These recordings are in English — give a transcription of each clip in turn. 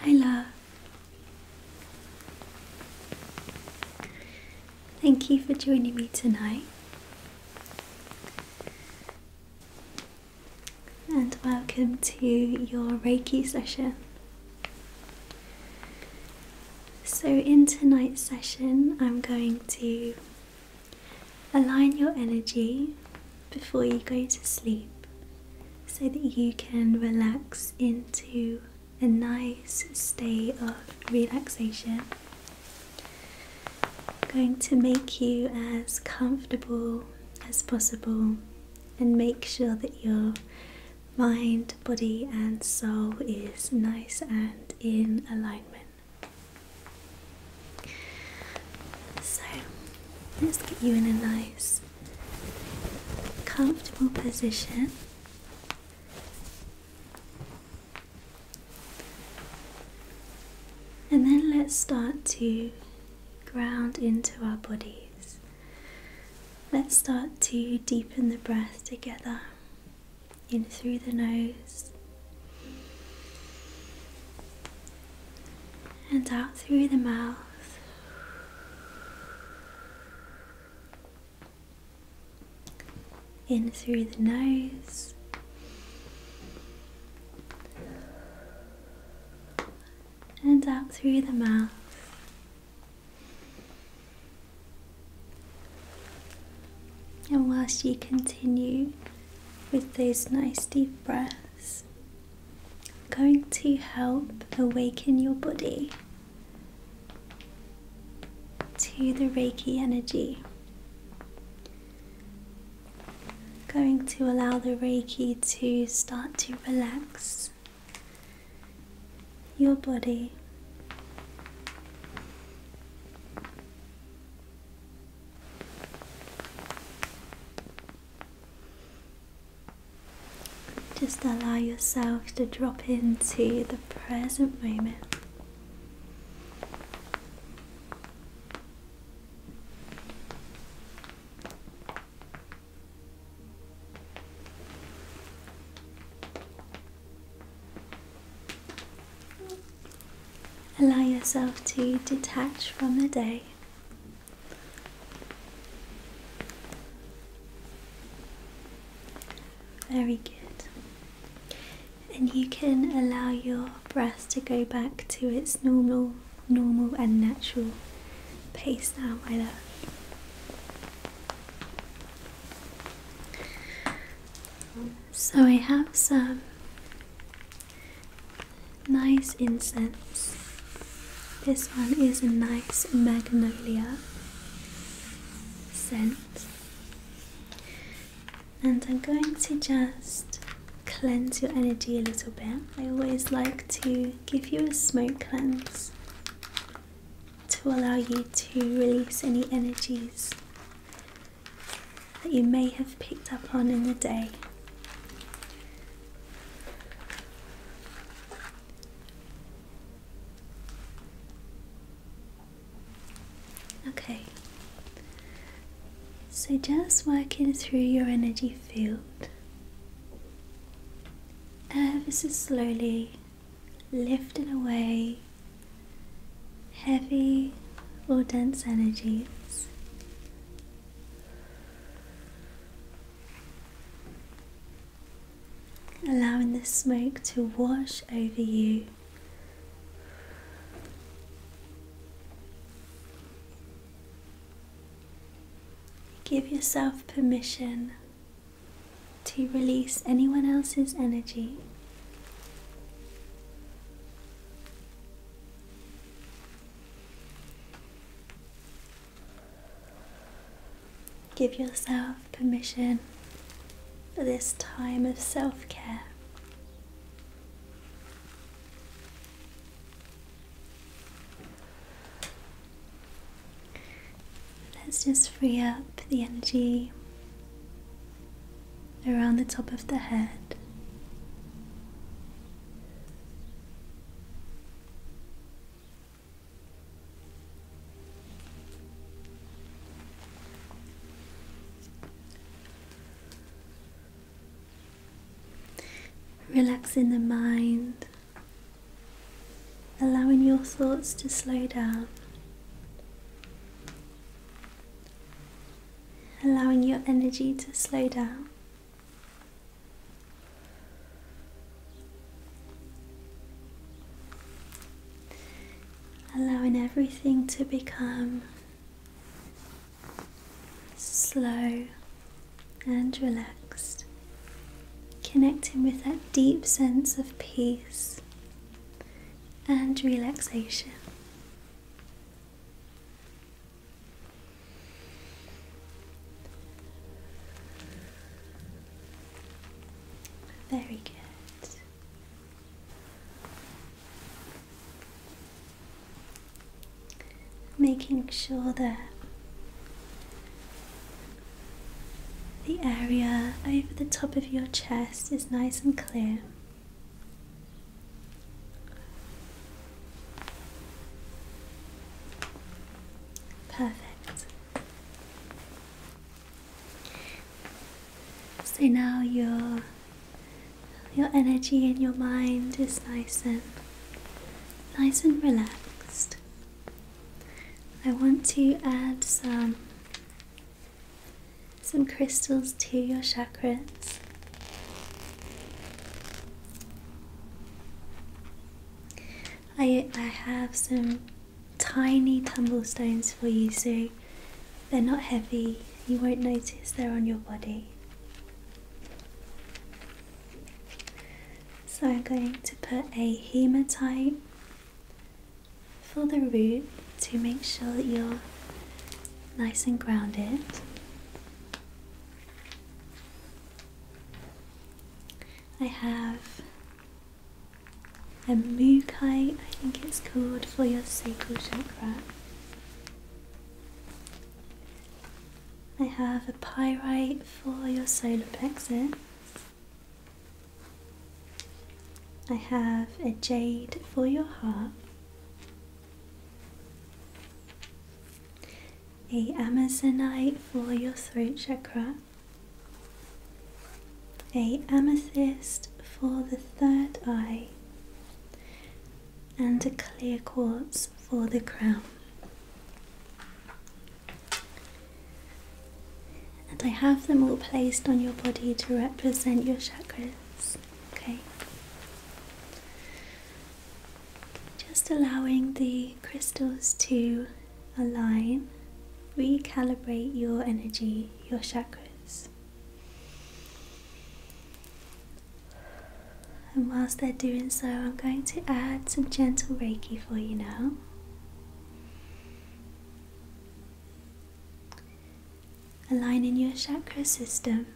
Hi, Thank you for joining me tonight, and welcome to your Reiki session. So, in tonight's session, I'm going to align your energy before you go to sleep so that you can relax into a nice state of relaxation. going to make you as comfortable as possible and make sure that your mind, body, and soul is nice and in alignment. So, Let's get you in a nice, comfortable position. And then let's start to ground into our bodies. Let's start to deepen the breath together in through the nose and out through the mouth. In through the nose, and out through the mouth. And whilst you continue with those nice deep breaths, going to help awaken your body to the Reiki energy. Going to allow the Reiki to start to relax your body. Just allow yourself to drop into the present moment. Allow yourself to detach from the day very good. And you can allow your breath to go back to its normal, normal and natural pace now, my love. So I have some Nice incense. This one is a nice magnolia scent. And I'm going to just cleanse your energy a little bit. I always like to give you a smoke cleanse to allow you to release any energies that you may have picked up on in the day. Okay, so just working through your energy field, uh, this slowly lifting away heavy or dense energies allowing the smoke to wash over you. Give yourself permission to release anyone else's energy. Give yourself permission for this time of self care. Let's just free up the energy around the top of the head. Relaxing the mind, allowing your thoughts to slow down, allowing your energy to slow down. Allowing everything to become slow and relaxed, connecting with that deep sense of peace and relaxation. Very good. Making sure that the area over the top of your chest is nice and clear. Perfect. So now your your energy and your mind is nice and nice and relaxed. I want to add some some crystals to your chakras I, I have some tiny tumblestones for you so they're not heavy, you won't notice they're on your body. So I'm going to put a hematite for the root to make sure that you're nice and grounded. I have a mukai, I think it's called, for your sacral chakra. I have a pyrite for your solar plexus. I have a jade for your heart a amazonite for your throat chakra, a amethyst for the third eye, and a clear quartz for the crown. And I have them all placed on your body to represent your chakras. Okay. Just allowing the crystals to align, recalibrate your energy, your chakras. And whilst they're doing so, I'm going to add some gentle Reiki for you now. Aligning your chakra system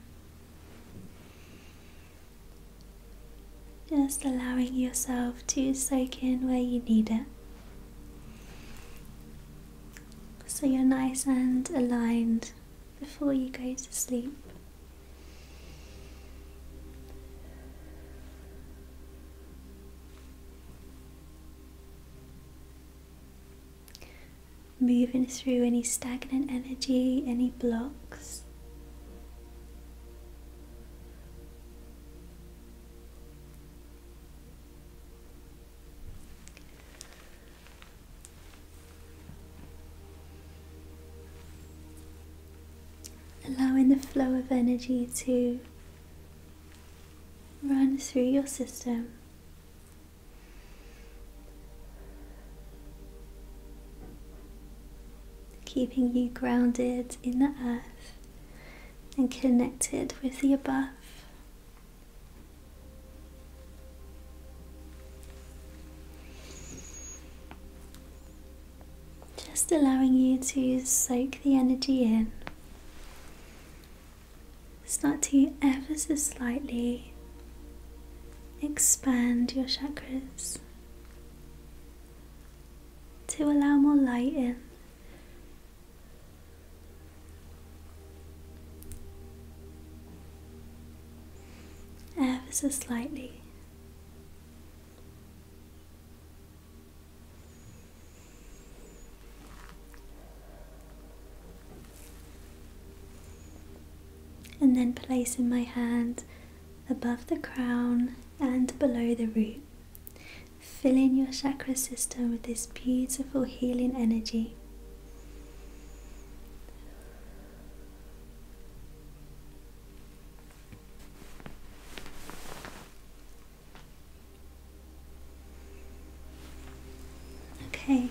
just allowing yourself to soak in where you need it. So you're nice and aligned before you go to sleep. Moving through any stagnant energy, any blocks. Allowing the flow of energy to run through your system keeping you grounded in the earth and connected with the above. Just allowing you to soak the energy in. Start to ever so slightly expand your chakras to allow more light in. Ever so slightly. And then placing my hand above the crown and below the root, fill in your chakra system with this beautiful healing energy. Okay,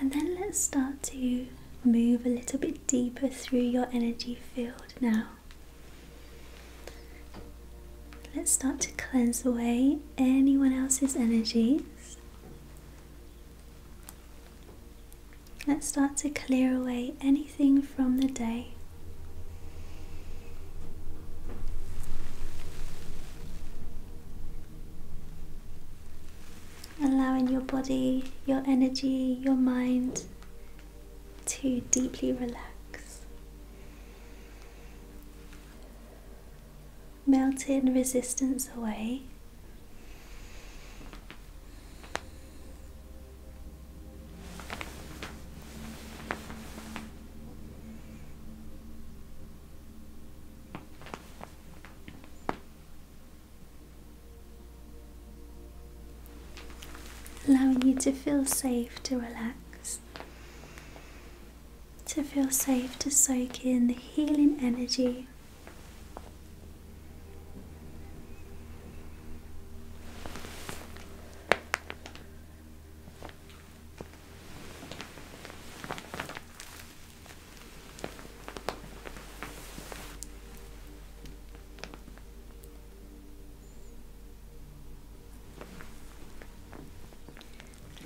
and then let's start to move a little bit deeper through your energy field now. Let's start to cleanse away anyone else's energies. Let's start to clear away anything from the day allowing your body, your energy, your mind to deeply relax. Melting resistance away allowing you to feel safe to relax, to feel safe to soak in the healing energy.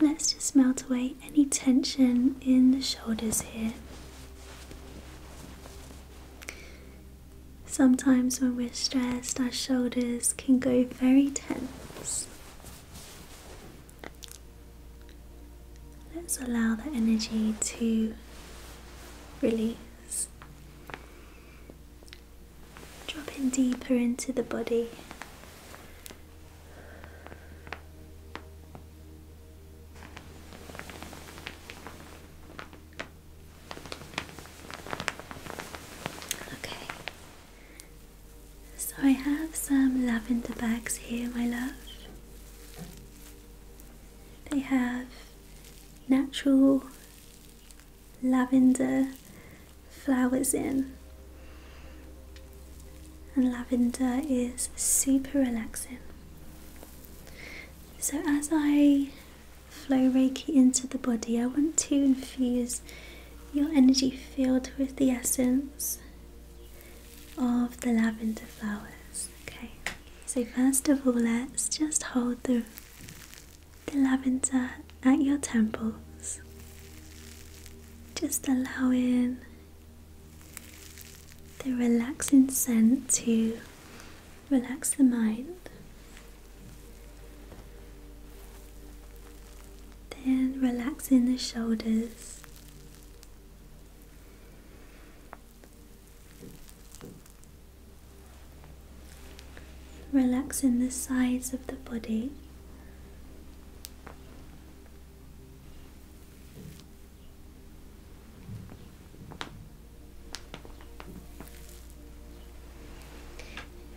Let's just melt away any tension in the shoulders here. Sometimes, when we're stressed, our shoulders can go very tense. Let's allow the energy to release. dropping deeper into the body. Okay, so I have some lavender bags here, my love. They have natural lavender flowers in, and lavender is super relaxing. So, as I flow Reiki into the body, I want to infuse your energy field with the essence of the lavender flowers. Okay, so first of all, let's just hold the, the lavender at your temples, just allowing the relaxing scent to relax the mind. Then relax in the shoulders Relaxing the sides of the body.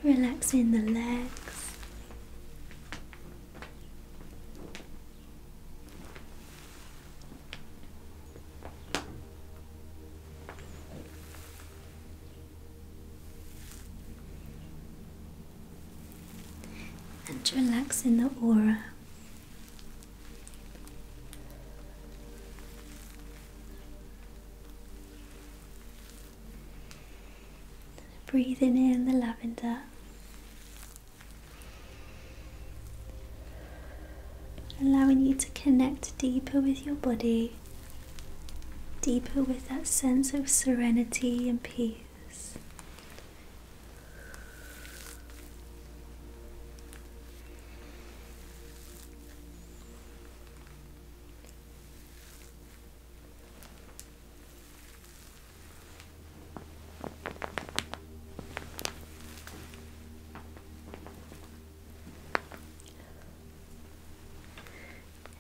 Relaxing the legs, and relax in the aura. Breathing in the lavender Allowing you to connect deeper with your body, deeper with that sense of serenity and peace.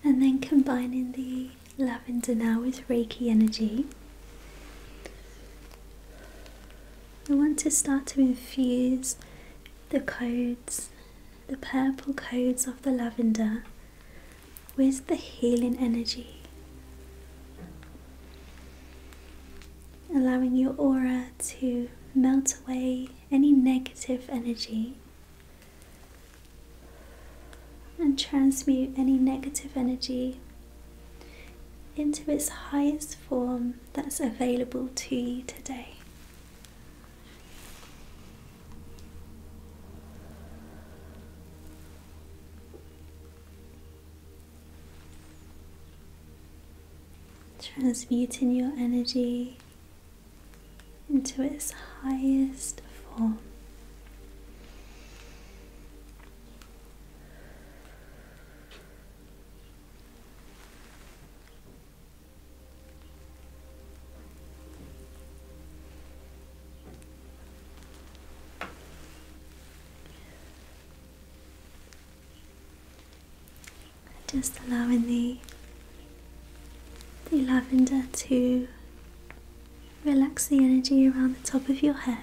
And then combining the lavender now with Reiki energy. we want to start to infuse the codes, the purple codes of the lavender, with the healing energy allowing your aura to melt away any negative energy and transmute any negative energy into its highest form that's available to you today transmuting your energy into its highest form. Just allowing the, the lavender to relax the energy around the top of your head.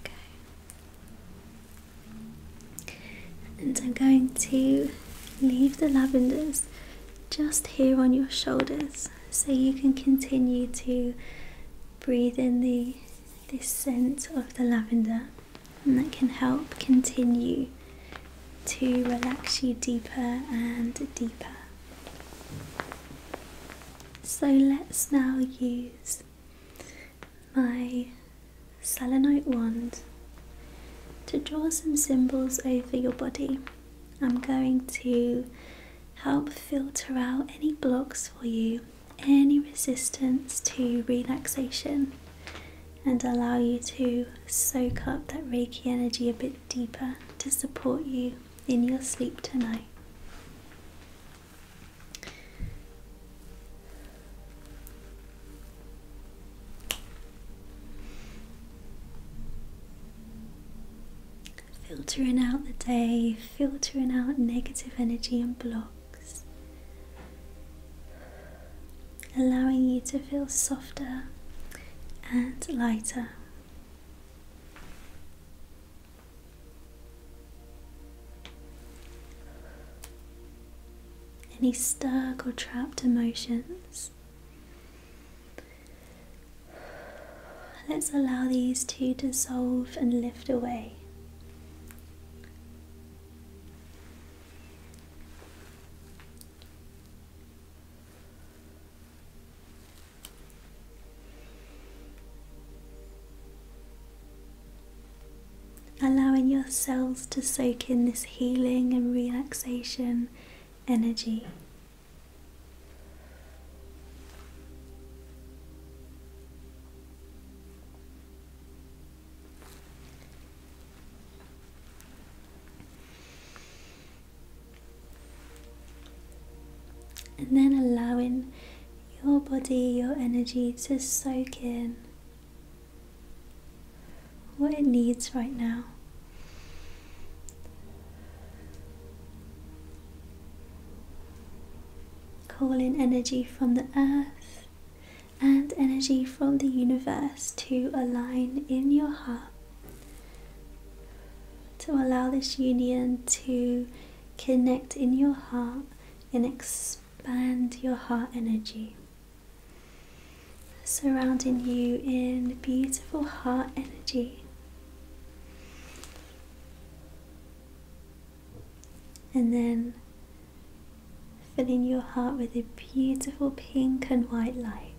Okay. And I'm going to leave the lavenders just here on your shoulders so you can continue to breathe in the this scent of the lavender and that can help continue to relax you deeper and deeper. So let's now use my selenite wand to draw some symbols over your body. I'm going to help filter out any blocks for you, any resistance to relaxation, and allow you to soak up that Reiki energy a bit deeper to support you in your sleep tonight. Filtering out the day, filtering out negative energy and blocks, allowing you to feel softer and lighter. Any stuck or trapped emotions. Let's allow these to dissolve and lift away allowing your to soak in this healing and relaxation energy. And then allowing your body, your energy to soak in what it needs right now. Call in energy from the earth and energy from the universe to align in your heart to allow this union to connect in your heart and expand expand your heart energy, surrounding you in beautiful heart energy. And then filling your heart with a beautiful pink and white light.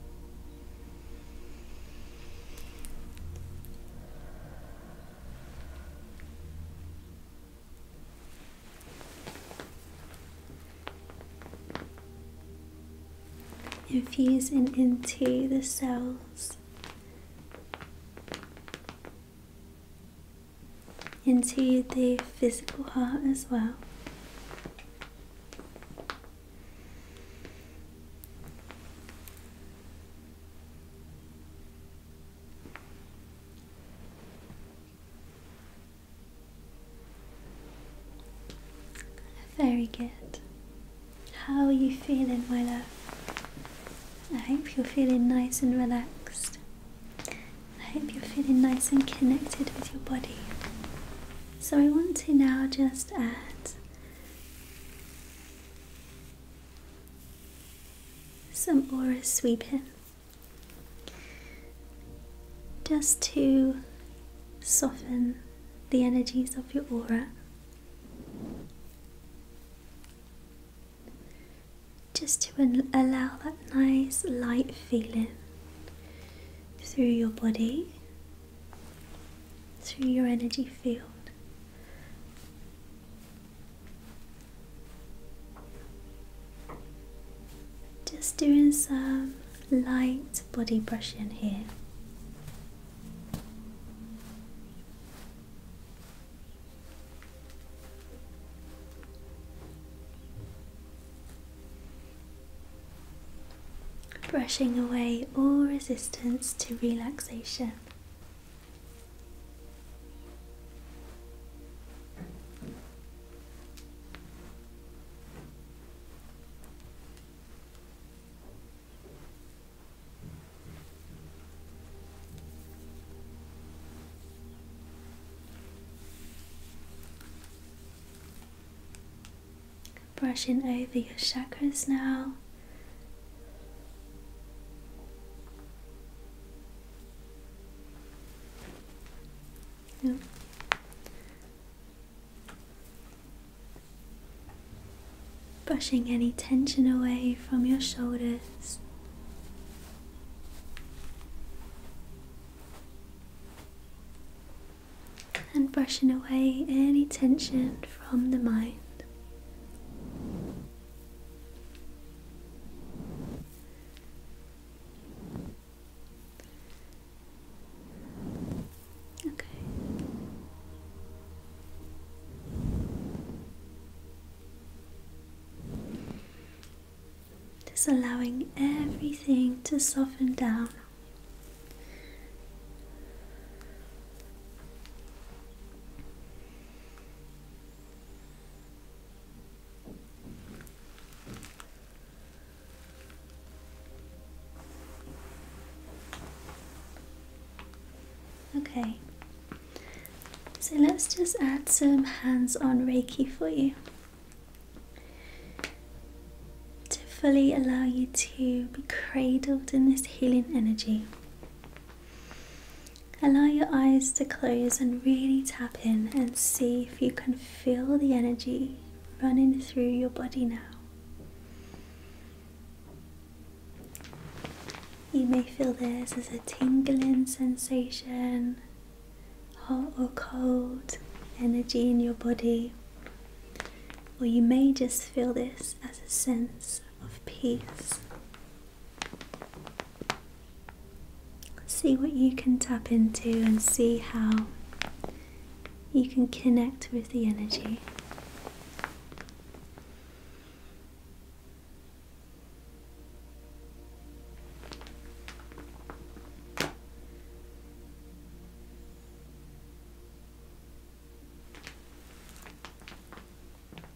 Infuse infusing into the cells, into the physical heart as well. Very good. How are you feeling, my love? I hope you're feeling nice and relaxed. I hope you're feeling nice and connected with your body. So, I want to now just add some aura sweeping just to soften the energies of your aura. Just to allow that nice light feeling through your body, through your energy field. Just doing some light body brushing here. Brushing away all resistance to relaxation. Brushing over your chakras now. Brushing any tension away from your shoulders. And brushing away any tension from the mind. Okay. Just allowing everything to soften down. Okay, so let's just add some hands on Reiki for you to fully allow you to be cradled in this healing energy. Allow your eyes to close and really tap in and see if you can feel the energy running through your body now. You may feel this as a tingling sensation, hot or cold energy in your body, or you may just feel this as a sense of peace See what you can tap into and see how you can connect with the energy.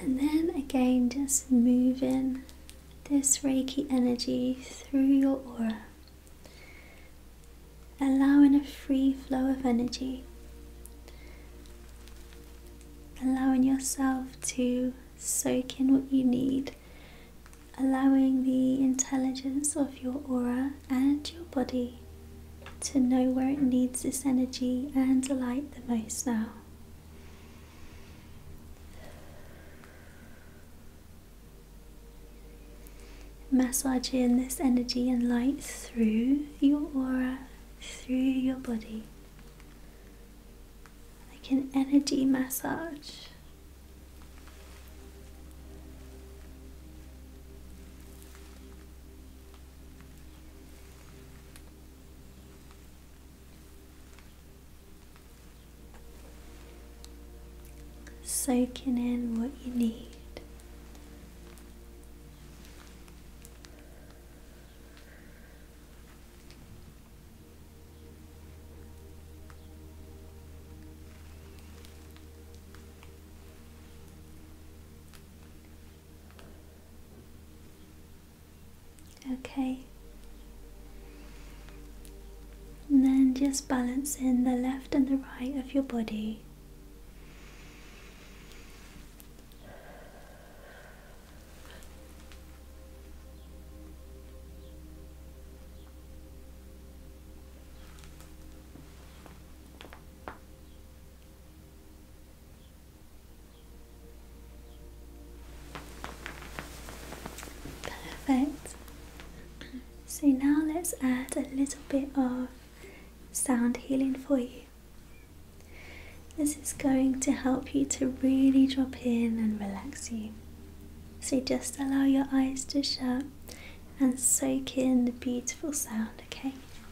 And then again, just moving this Reiki energy through your aura, allowing a free flow of energy, allowing yourself to soak in what you need, allowing the intelligence of your aura and your body to know where it needs this energy and light the most now. massage in this energy and light through your aura, through your body, like an energy massage soaking in what you need. Okay. And then just balance in the left and the right of your body. Perfect. So now let's add a little bit of sound healing for you. This is going to help you to really drop in and relax you. So just allow your eyes to shut and soak in the beautiful sound, okay?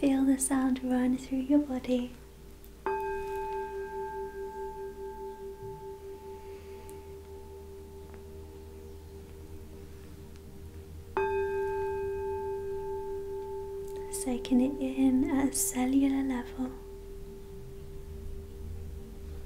Feel the sound run through your body. soaking it in at a cellular level.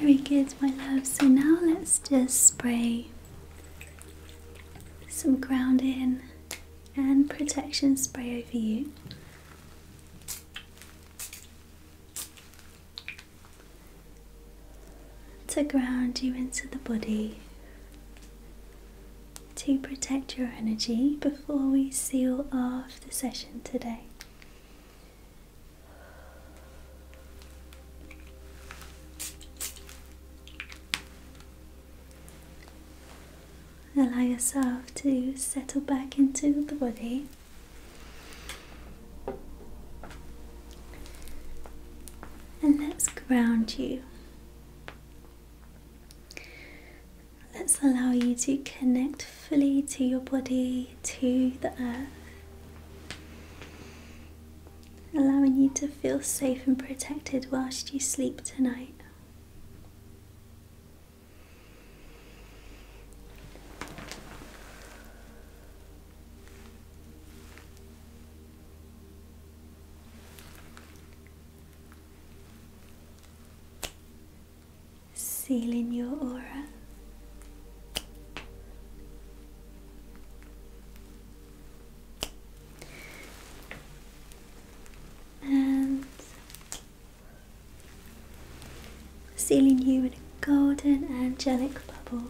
Very good, my love. So now let's just spray some grounding and protection spray over you. To ground you into the body, to protect your energy before we seal off the session today. Allow yourself to settle back into the body. And let's ground you. Let's allow you to connect gently to your body, to the earth, allowing you to feel safe and protected whilst you sleep tonight sealing your aura. And sealing you in a golden angelic bubble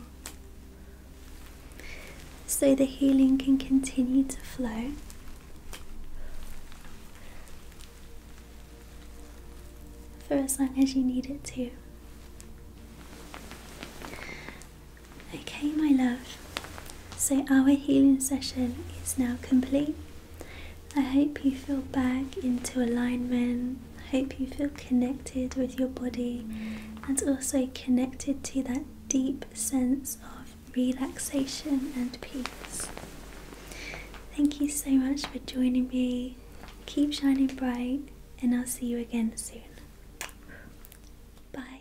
so the healing can continue to flow for as long as you need it to. Okay, my love, so our healing session is now complete. I hope you feel back into alignment. I hope you feel connected with your body and also connected to that deep sense of relaxation and peace. Thank you so much for joining me. Keep shining bright, and I'll see you again soon. Bye.